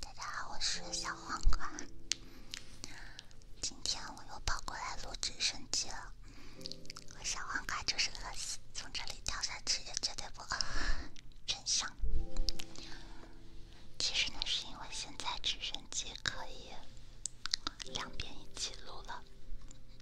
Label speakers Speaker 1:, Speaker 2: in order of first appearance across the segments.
Speaker 1: 大家好，我是小黄瓜。今天我又跑过来录直升机了。我小黄瓜就是饿死，从这里掉下去也绝对不饿。真相其实呢，是因为现在直升机可以两边一起录了，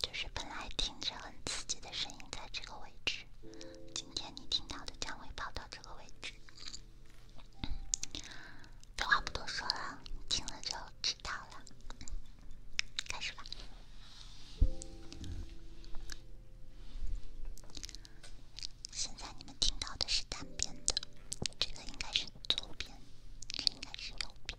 Speaker 1: 就是本来听着很刺激的声音在这个位置，今天你听到的将会跑到。这个位置，废话不多说了，听了就知道了。开始吧。现在你们听到的是单边的，这个应该是左边，这应该是右边。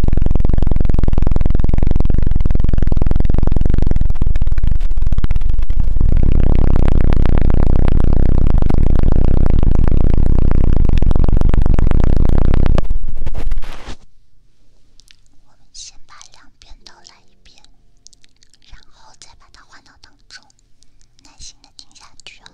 Speaker 1: 我们先把两边都来一遍，然后再把它换到当中，耐心的听下去哦。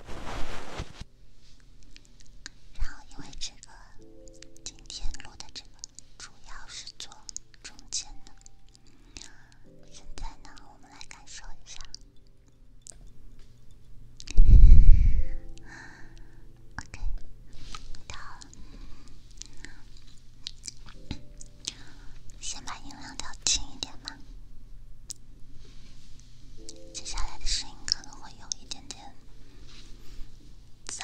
Speaker 1: 然后因为这个，今天录的这个主要是做中间的。现在呢，我们来感受一下。先把音量调轻一点嘛，接下来的声音可能会有一点点噪。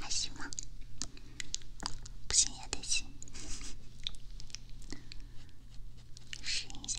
Speaker 1: 还行吗？不行也得行，试一下。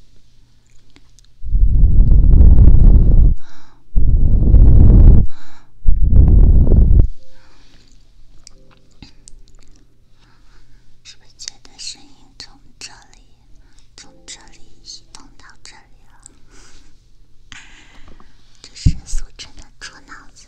Speaker 1: 是不是觉得声音从这里，从这里移动到这里了？这声速真的猪脑子！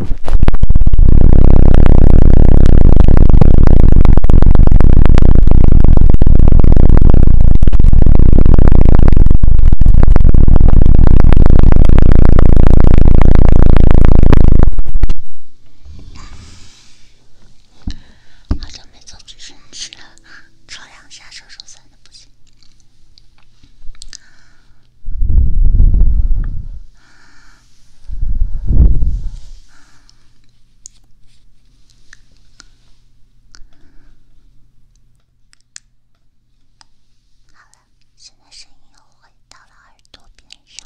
Speaker 1: 好久没做举升机了，测量下手手酸的不行。好了，现在声音又回到了耳朵边上。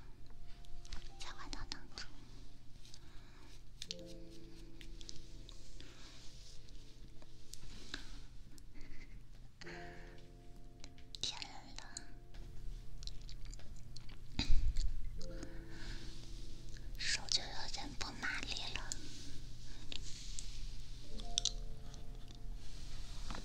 Speaker 1: 在管道当中，天冷，手就有点不麻利了。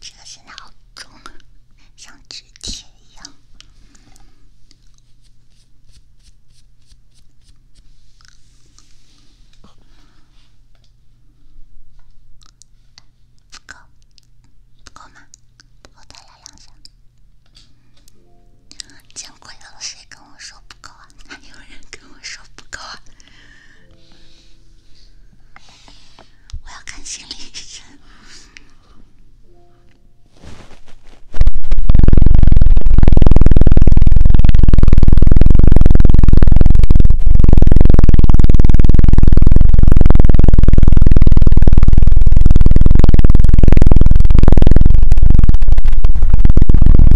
Speaker 1: 这个现在好重，像磁铁一样。不够，不够吗？不够，再来两声。见鬼了，谁跟我说不够啊？还 有人跟我说不够啊？我要看心理医生。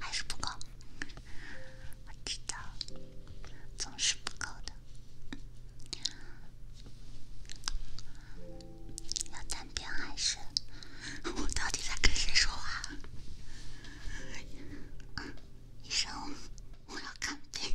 Speaker 1: 还是不够，我知道，总是不够的。要暂停还是？我到底在跟谁说话？医生，我要看病。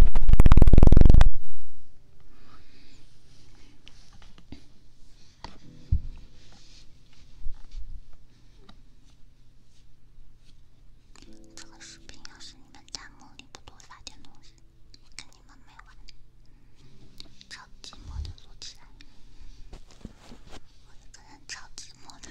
Speaker 2: 这个视频要是你们弹幕里不多发点东西，我跟你们没完。超寂寞的录起来，我一个人超寂寞的。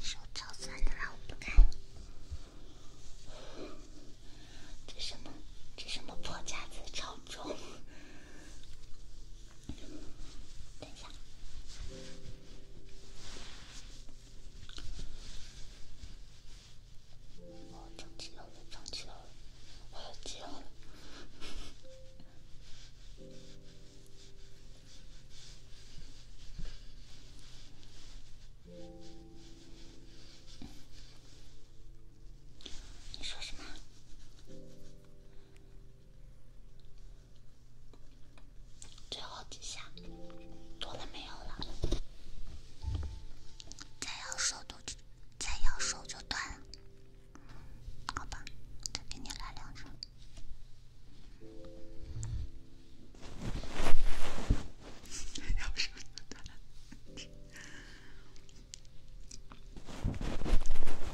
Speaker 1: 手超酸的了，我不干。这什么？这什么破架子超重？等一下，我藏起来了，藏起来了，我藏起来了。你说什么？最后几下，多了没有了。再咬手就，断好吧，再给你来两声。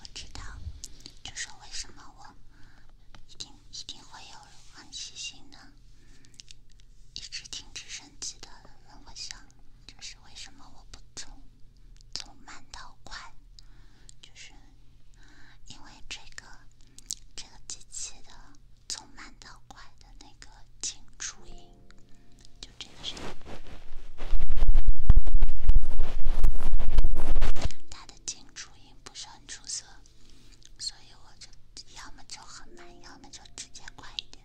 Speaker 1: 我知道，这是为什么我一定一定会有人很细心的，一直挺直升机的。我想，这是为什么我不懂。从慢到快，就是因为这个这个机器的从慢到快的那个进初音，就这个声音，它的进初音不是很出色，所以我就要么就很慢，要么就直接快一点。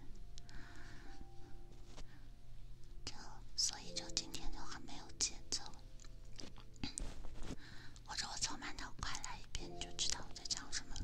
Speaker 1: 这，所以就今天就很没有节奏。或者我从慢到快来一遍，你就知道我在讲什么了。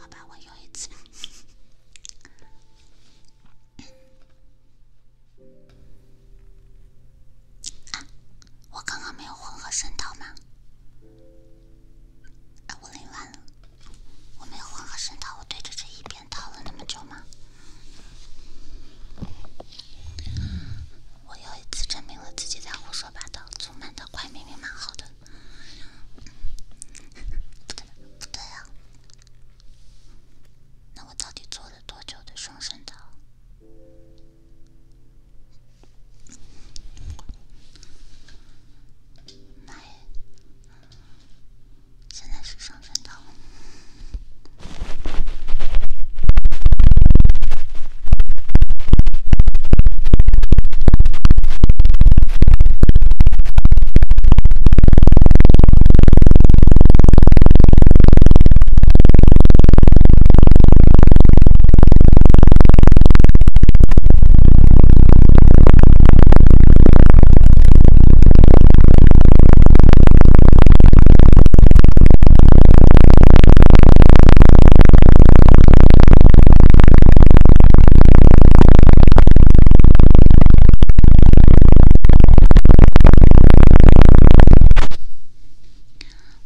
Speaker 1: 好吧，我有一次。我刚刚没有混合声道吗？啊，我累完了。我没换和声道，我对着这一边叨了那么久吗？我又一次证明了自己在胡说八道，从慢到快明明蛮好的。不对，不对啊！那我到底做了多久的双声道？哎。现在是上山道。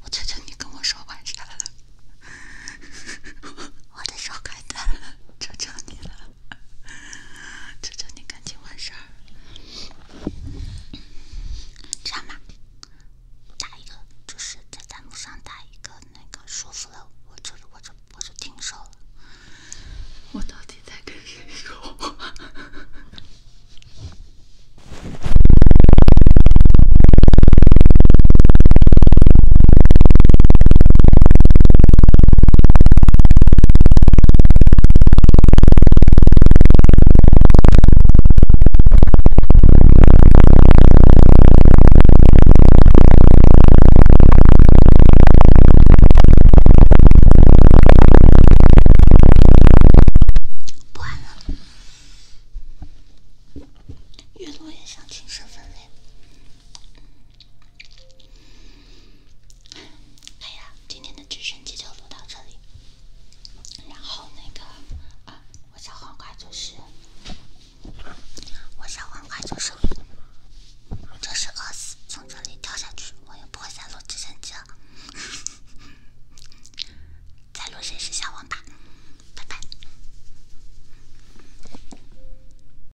Speaker 1: 我求求你跟我说完事儿了，我的手快断了，求求你了。求求你赶紧完事儿，这样吧，打一个，就是在弹幕上打一个，那个说服了我，我就我就我就停手了。我到底在跟谁说话？不玩了。越落越想亲身分类。哎呀，今天的直升机就录到这里。然后那个，啊，我小黄瓜就是，我小黄瓜就是，就是饿死，从这里跳下去，我也不会再录直升机了。再录谁是小王吧，拜拜。